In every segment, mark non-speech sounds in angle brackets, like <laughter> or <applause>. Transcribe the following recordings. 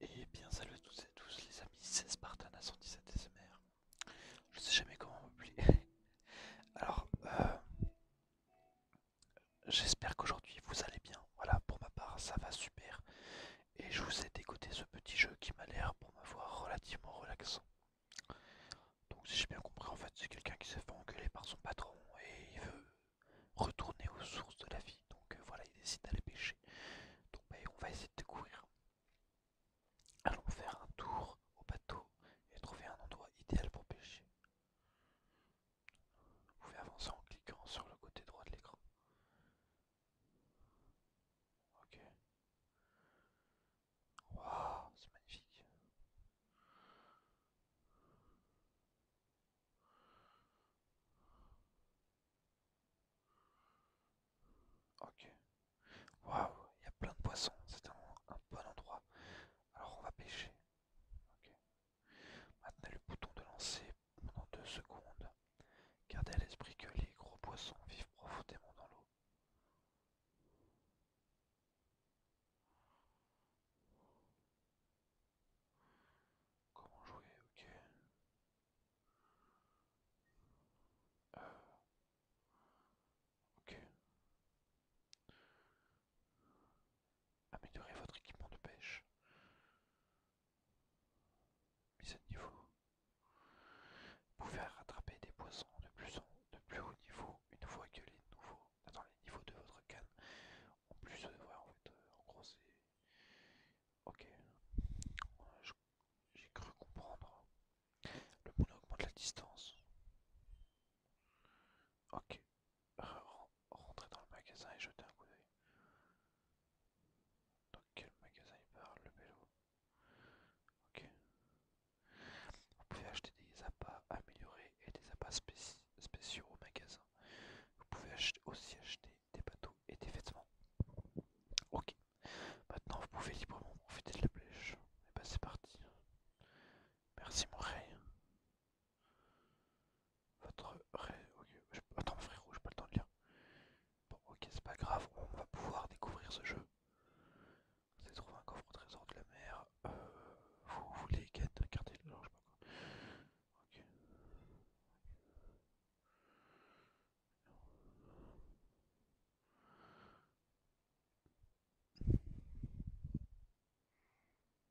Et eh bien salut à tous et à tous les amis, c'est Spartan à 117 SMR. Je sais jamais comment m'oublier. <laughs> Alors, euh, j'espère qu'aujourd'hui vous allez bien. Voilà, pour ma part, ça va super. Et je vous ai dégoté ce petit jeu qui m'a l'air, pour me voir relativement relaxant. Donc si j'ai bien compris, en fait, c'est quelqu'un qui s'est fait engueuler par son patron et il veut retourner aux sources de la vie. Donc euh, voilà, il décide d'aller pêcher. Ben, on va essayer de découvrir. Allons faire un tour au bateau et trouver un endroit idéal pour pêcher. Vous pouvez avancer en cliquant sur le côté droit de l'écran. Ok. Wow, c'est magnifique. Ok. Waouh, il y a plein de poissons. C'est un, bon endroit. Alors on va pêcher. Ok. Maintenant le bouton de lancer pendant deux secondes. Gardez à l'esprit que les gros poissons vivent profondément dans l'eau. Comment jouer Ok. Améliorez votre équipement de pêche. Mise à niveau. Vous pouvez rattraper des poissons de plus, haut niveau une fois que les nouveaux, les niveaux de votre canne, ont plus, de euh, en euh, en gros, Ok. J'ai cru comprendre. Le bouton augmente la distance. Ok. Rentrez dans le magasin et jetez un coup d'œil. Dans quel magasin il parle le vélo Ok. Vous pouvez acheter des appâts améliorés et des appâts spéciaux au magasin. Vous pouvez acheter aussi acheter des bateaux et des vêtements. Ok, maintenant vous pouvez librement profiter de la plage. Et eh bah ben, c'est parti. Merci mon rey. Votre rey. ok Attends frérot, j'ai pas le temps de lire. Bon ok c'est pas grave, on va pouvoir découvrir ce jeu. Vous allez trouver un coffre au trésor de la mer. Euh, vous voulez garder le... Non, je sais pas quoi. Ok.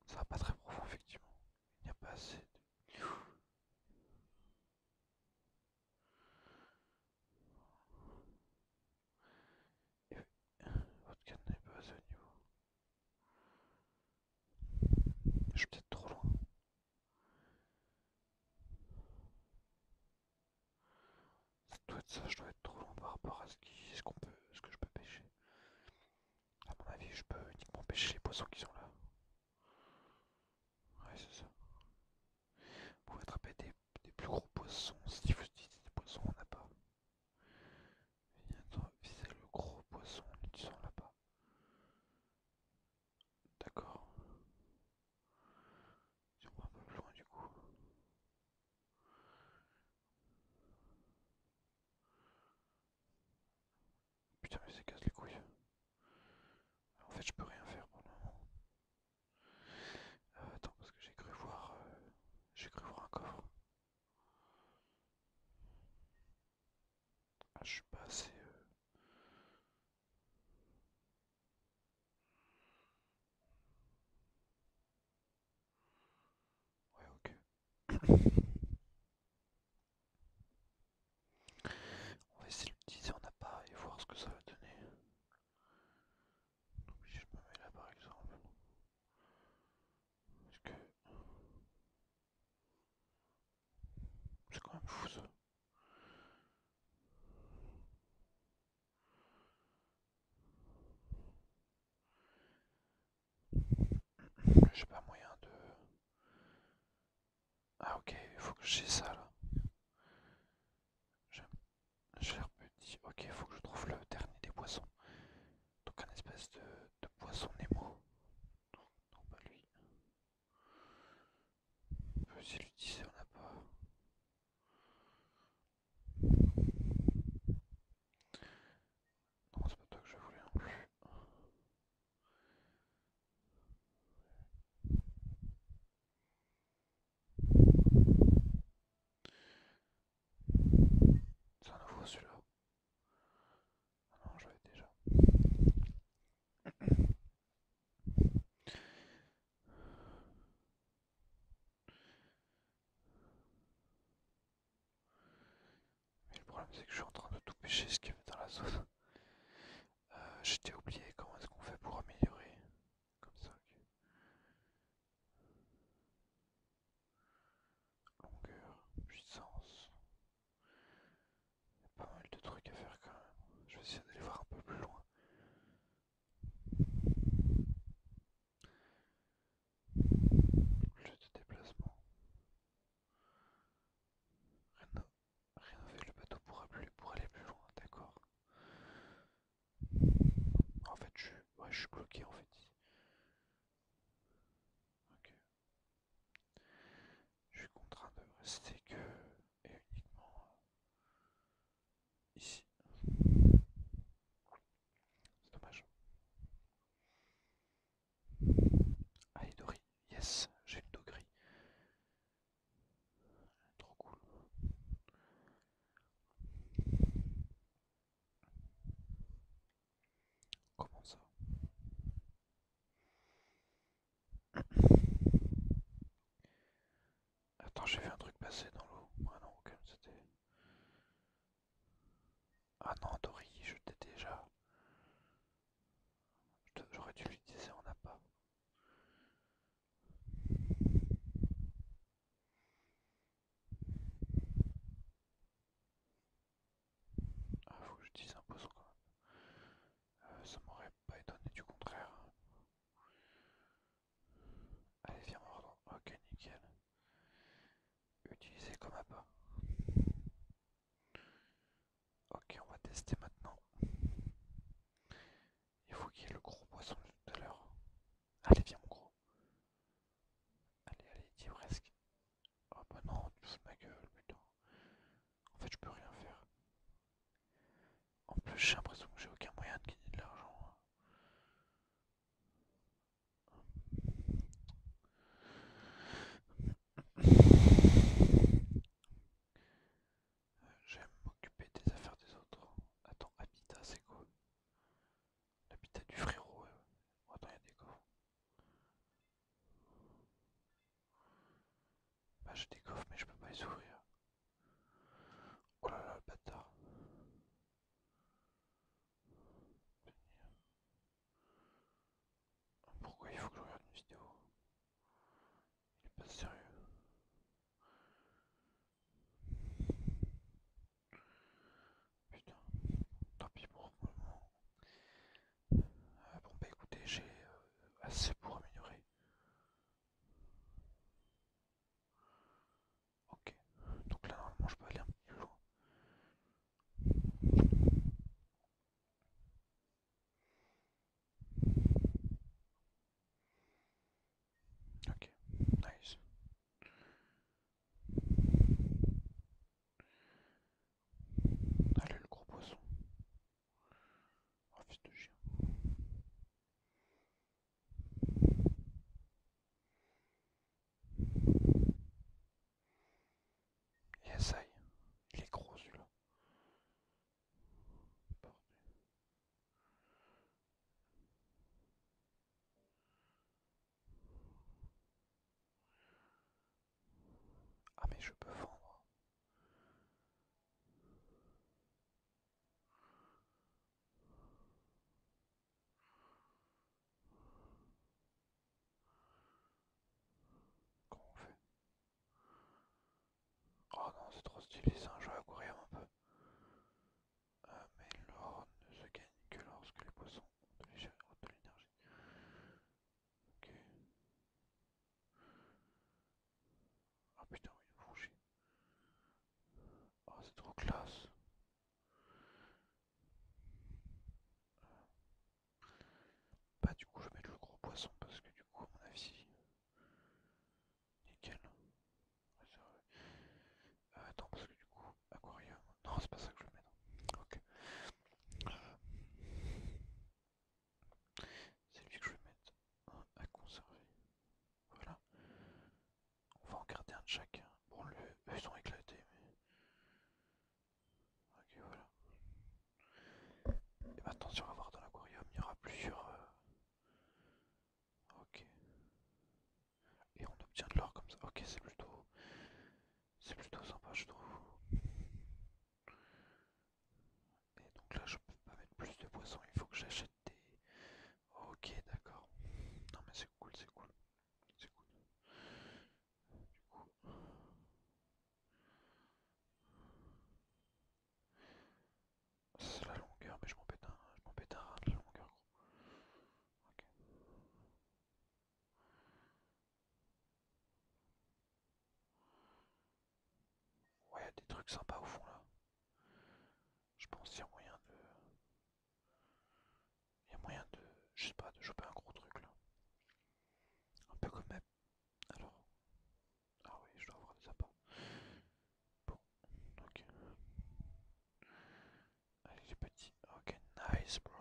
Ça va pas très profond, effectivement. Il n'y a pas assez de... Votre canne n'est pas assez au niveau. Je suis peut-être trop loin. Ça doit être ça, je dois être trop long par rapport à ce, qu'on peut, ce que je peux pêcher. à mon avis, je peux uniquement pêcher les poissons qui sont là. Ouais, c'est ça. Vous pouvez attraper des, plus gros poissons. Si vous dites des poissons, on n'a pas. c'est le gros poisson en sont là-bas. D'accord. Si on va un peu plus loin du coup. Putain mais ça casse les couilles. En fait je peux rien faire pour le moment. Euh, attends parce que j'ai cru voir. Euh, j'ai cru voir un coffre. Ah, je suis pas assez. Euh, ouais, ok. On va essayer de l'utiliser en pas et voir ce que ça va donner. Donc, si je me mets là par exemple. Parce que. C'est quand même fou ça. J'ai pas moyen de... Ah ok, il faut que j'ai ça là. J'ai un petit. Ok, il faut que je trouve le dernier des poissons. Donc un espèce de, de poisson Nemo. Non, pas lui. Si lui disait on n'a pas. Non, c'est pas toi que je voulais non plus. C'est un nouveau celui-là non, je déjà. Mais le problème c'est que je suis en train de tout pêcher ce qu'il y avait dans la zone. Euh, J'étais oublié comment est-ce qu'on fait pour améliorer comme ça. Longueur, puissance, il y a pas mal de trucs à faire quand même. Je vais essayer d'aller voir un peu plus loin. Jeu de déplacement. Rénover le bateau pour, aller plus loin, d'accord. En fait, je, ouais, je suis bloqué en fait. Ok. Je suis contraint de rester que et uniquement euh, ici. C'est dommage. Ah, Doris, yes, j'ai une dos gris. Trop cool. Comment ça Attends, j'ai vu un truc passer dans l'eau. Ah non, comme c'était. Ah non, Dory, je t'ai déjà. J'aurais dû lui dire on n'a pas. Ah, faut que je dise poisson quand même. ça m'aurait pas étonné du contraire. Allez, viens mon ordre Ok, nickel. Utilisez comme appât. Ok, on va tester maintenant. Il faut qu'il y ait le gros poisson de tout à l'heure. Allez, viens, mon gros. Allez, allez, dis presque. Oh bah non, tu me ma gueule, putain. En fait, je peux rien faire. En plus, j'ai l'impression que j'ai aucun moyen de gagner de l'argent. Hein. Euh, j'aime m'occuper des affaires des autres. Hein. Attends, Habitat, c'est quoi L'habitat du frérot. Attends, il y a des gars. Bah, j'ai des coffres mais je peux pas les ouvrir. Oh là là le bâtard. Pourquoi il faut que je regarde une vidéo Il est pas sérieux. Putain, tant pis pour le moment. Euh, bon bah écoutez, j'ai euh, assez pour améliorer. Ok, donc là normalement je peux aller un peu loin. Ok, nice. Allez le gros poisson. Oh, fils de chien. Il est gros celui-là. Ah mais je peux vendre. Comment on fait Oh non, c'est trop stylé, ça, je vais à courir un peu. Ah mais l'or ne se gagne que lorsque les poissons ont de l'énergie. Ok. Ah putain, il a franchi. Oh c'est trop classe. Bah, du coup, je vais mettre le gros poisson parce que, du coup, à mon avis, nickel. Euh, attends, parce que, du coup, aquarium. Non, c'est pas ça que je mets Ok. Euh, c'est lui que je vais mettre à conserver. Voilà. On va en garder un de chacun. Bon, le, eux ils sont éclatés, mais. Ok, voilà. Et maintenant, si on va voir dans l'aquarium, il y aura plusieurs. Euh, ok. Et on obtient de l'or comme ça. Ok, c'est plutôt. C'est plutôt sympa, je trouve. Et donc là je peux pas mettre plus de poissons, il faut que j'achète des... Ok d'accord. Non mais c'est cool, c'est cool. C'est cool. Du coup... C'est la longueur, mais je m'en pète un, je m'en pète de la longueur Ok. Ouais, y a des trucs sympas au fond là. Je pense qu'il y a moyen de. Il y a moyen de. Je sais pas, de choper un gros truc là. Un peu comme. Alors. Ah oui, je dois avoir des appâts. Bon, ok. Allez, les petits. Ok, nice, bro.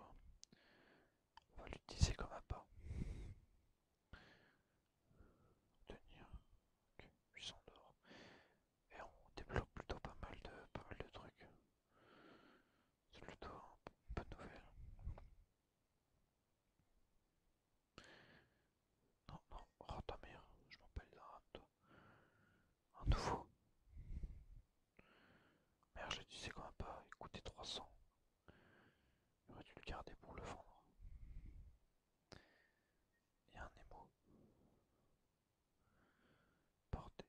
On va l'utiliser comme appât. Tenir, 800 d'or. Et on développe plutôt pas mal de, pas mal de trucs. C'est plutôt une de nouvelle. Non, non, oh ta mère, je m'en bats les toi. Un nouveau. Merde, je disais quand pas, il coûtait 300. Il aurait dû le garder pour le vendre. Il y a un émo. Porté.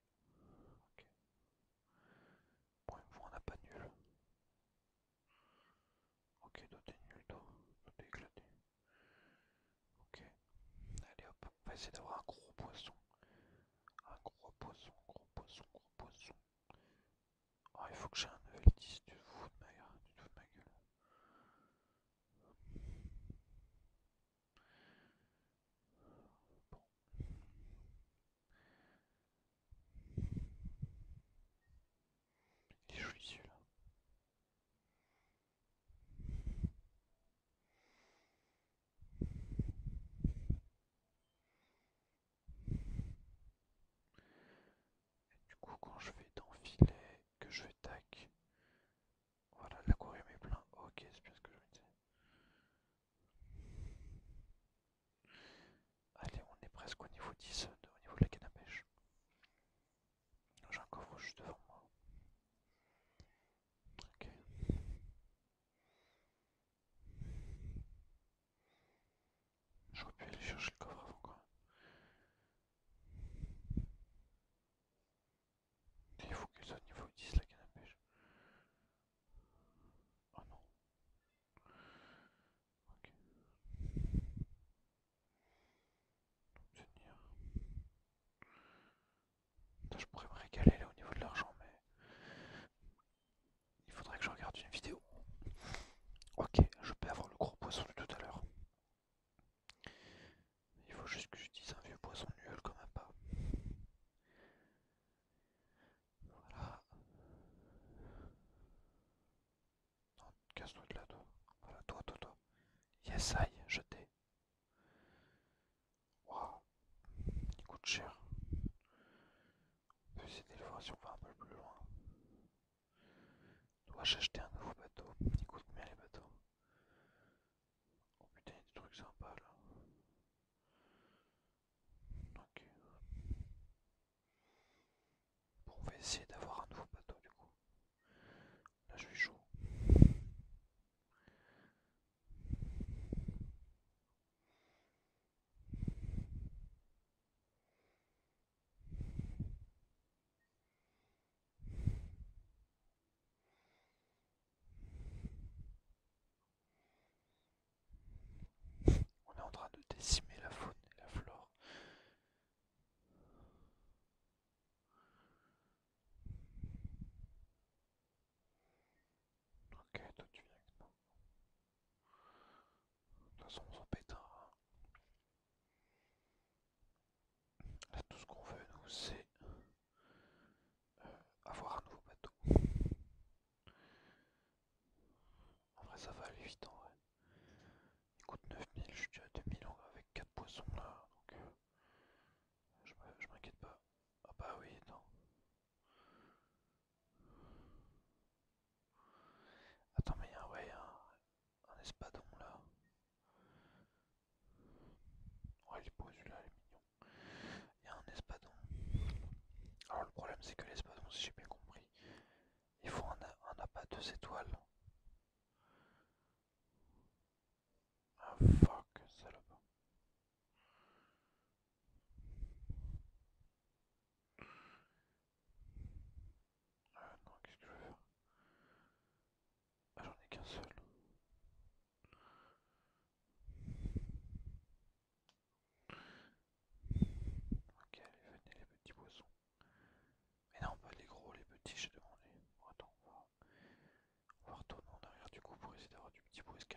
Ok. Bon, une fois pas n'a nul. Ok, d'autres nul, d'autres. éclaté. Ok. Allez hop, on va essayer d'avoir un gros poisson. Un gros poisson, gros poisson, gros poisson. Oh, il faut que j'ai un l 10, tu te fous de ma, tu te fous de ma gueule. Bon. Il là et du coup, quand je vais dans que je vais tac, voilà, l'aquarium est plein. Ok, c'est bien ce que je vais disais. Allez, on est presque au niveau 10, au niveau de la canne à pêche. J'ai un coffre juste devant moi. Ok. J'aurais pu aller chercher le coffre avant quand Il faut ça au niveau 10 la canne à Oh non. Ok. Je pourrais me régaler là au niveau de l'argent mais il faudrait que je regarde une vidéo. Ok, je peux avoir le gros poisson de tout à l'heure. Il faut juste que je dise un vieux poisson nul comme un pas. Voilà. Non, casse-toi de là, toi. Voilà, toi, toi, toi. Yes, aïe, je t'ai. Waouh, il coûte cher je vais essayer de le voir si on va un peu plus loin. Dois-je acheter un nouveau bateau Ils coûtent les bateaux Oh putain, il y a des trucs sympas là. Ok. Bon, on va essayer d'avoir un nouveau bateau du coup. Là, je suis chaud. On est en train de décimer la faune et la flore. Ok, toi tu viens avec moi De toute façon, on s'en pétera. Hein. Là, tout ce qu'on veut, nous, c'est euh, avoir un nouveau bateau. En vrai, ça va aller vite en vrai. Il coûte 9000, je suis déjà à 2000 avec 4 poissons là, donc euh, je m'inquiète pas. Ah bah oui, non. Attends, mais il y a ouais, un, espadon là. Ouais, il est beau là il est mignon. Il y a un espadon. Alors, le problème, c'est que l'espadon, si j'ai bien compris, il faut un, appât deux étoiles, un Ah fuck, salope. Ah non, qu'est-ce que je vais faire Ah, j'en ai qu'un seul. Ok, allez, venez les petits poissons. Mais non, pas les gros, les petits, j'ai demandé. Bon, attends, on va, retourner en arrière du coup pour essayer d'avoir du petit sky.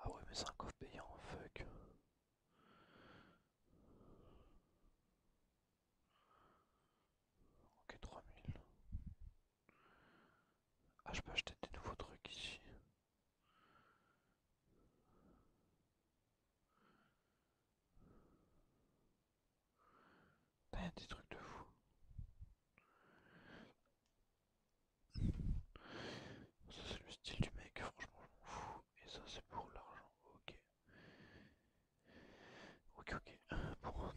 Ah oui mais c'est un coffre payant, fuck. Ok 3000. Ah je peux acheter des nouveaux trucs ici un des trucs de fou. Ça c'est le style du mec, franchement je m'en fous. Et ça c'est pour l'argent, ok. Ok ok,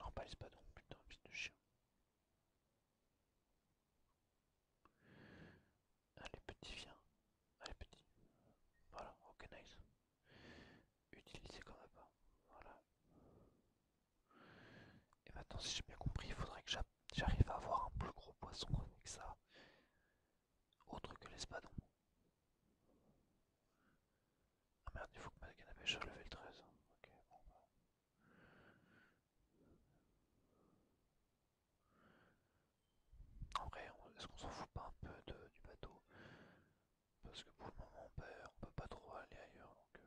non, pas l'espadon, putain, piste de chien. Allez, petit, viens. Allez, petit. Voilà, ok, nice. utilisez quand même Voilà. Et maintenant, si j'ai bien compris, il faudrait que j'arrive à avoir un plus gros poisson que ça. Autre que l'espadon. Ah merde, il faut que ma canapé à soit level 13. En vrai, est-ce qu'on s'en fout pas un peu du bateau Parce que pour le moment, on peut, pas trop aller ailleurs. Donc, euh.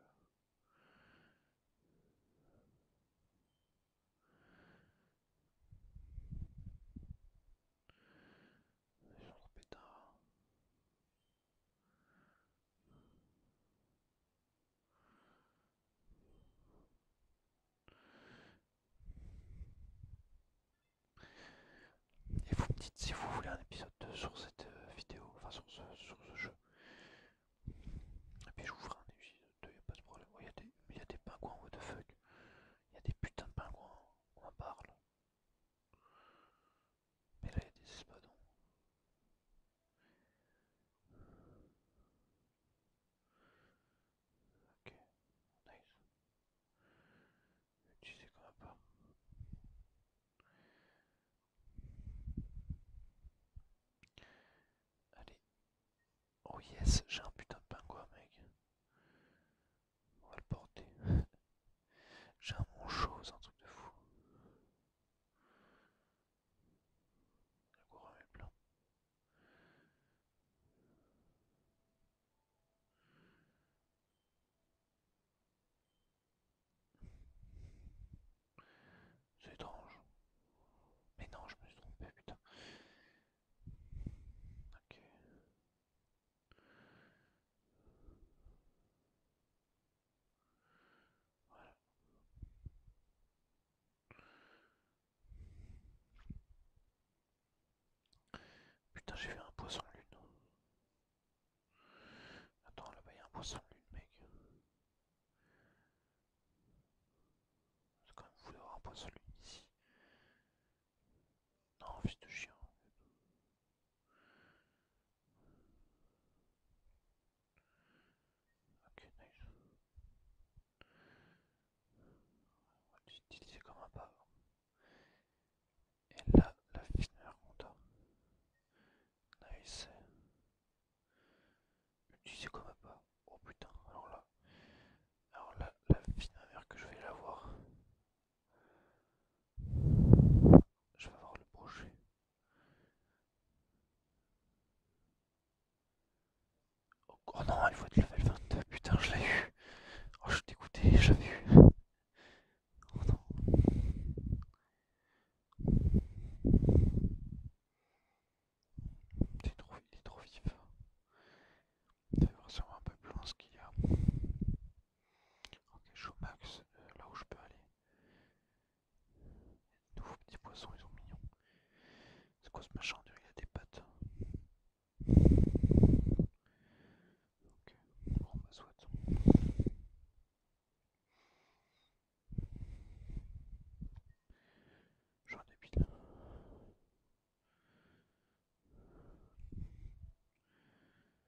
Et vous me dites si vous voulez un épisode sur cette euh, vidéo, enfin sur ce, sur ce jeu. Et puis je vous un épisode 2, y a pas de problème. Il y a des pingouins, what the fuck. Il y a des putains de pingouins, on en parle. Mais là, il y a des espadons. Ok, nice. Utiliser comme un pas. Allez. Oh yes, j'ai un putain de pingouin, mec. On va le porter. <laughs> J'ai un chose c'est un truc de fou. La est C'est étrange. Mais non, je me suis trompé, putain. Ok. Putain, j'ai vu un poisson lune. Attends, là-bas, il y a un poisson lune, mec. C'est quand même fou un poisson lune ici. Non, fils de chien. Ok, nice. On va l'utiliser comme un pas Et là, la finale qu'on t'a Nice. Utiliser comme un pas Oh putain, alors là. Alors là, la finale que je vais l'avoir. Je vais voir le projet. Oh, non, il faut être level 22, putain, je l'ai eu. Oh, je suis dégoûté, je l'avais eu. Oh non. trop, il est trop vif. Ça fait sûrement un peu plus loin ce qu'il y a. Ok, je suis au max euh, là où je peux aller. Les nouveaux petits poissons, ils sont mignons. C'est quoi ce machin dur Il a des pattes. Ok, bon, ma bah, soie Je suis un débile.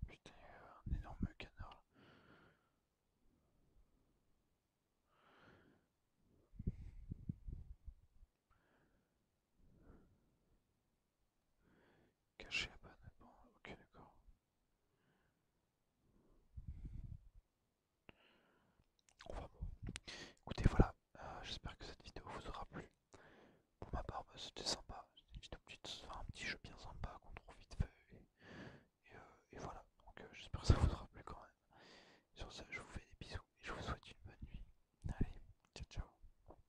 Putain, il y a un énorme canard là. Caché à bonne ok, d'accord. va bon. Écoutez, voilà. Euh, j'espère que cette vidéo vous aura plu. Pour ma part, bah, c'était sympa. C'était un petit jeu bien sympa qu'on trouve vite fait. Et, euh, voilà. Donc, euh, j'espère que ça vous aura plu quand même. Sur ça, je vous fais des bisous et je vous souhaite une bonne nuit. Allez, ciao, ciao.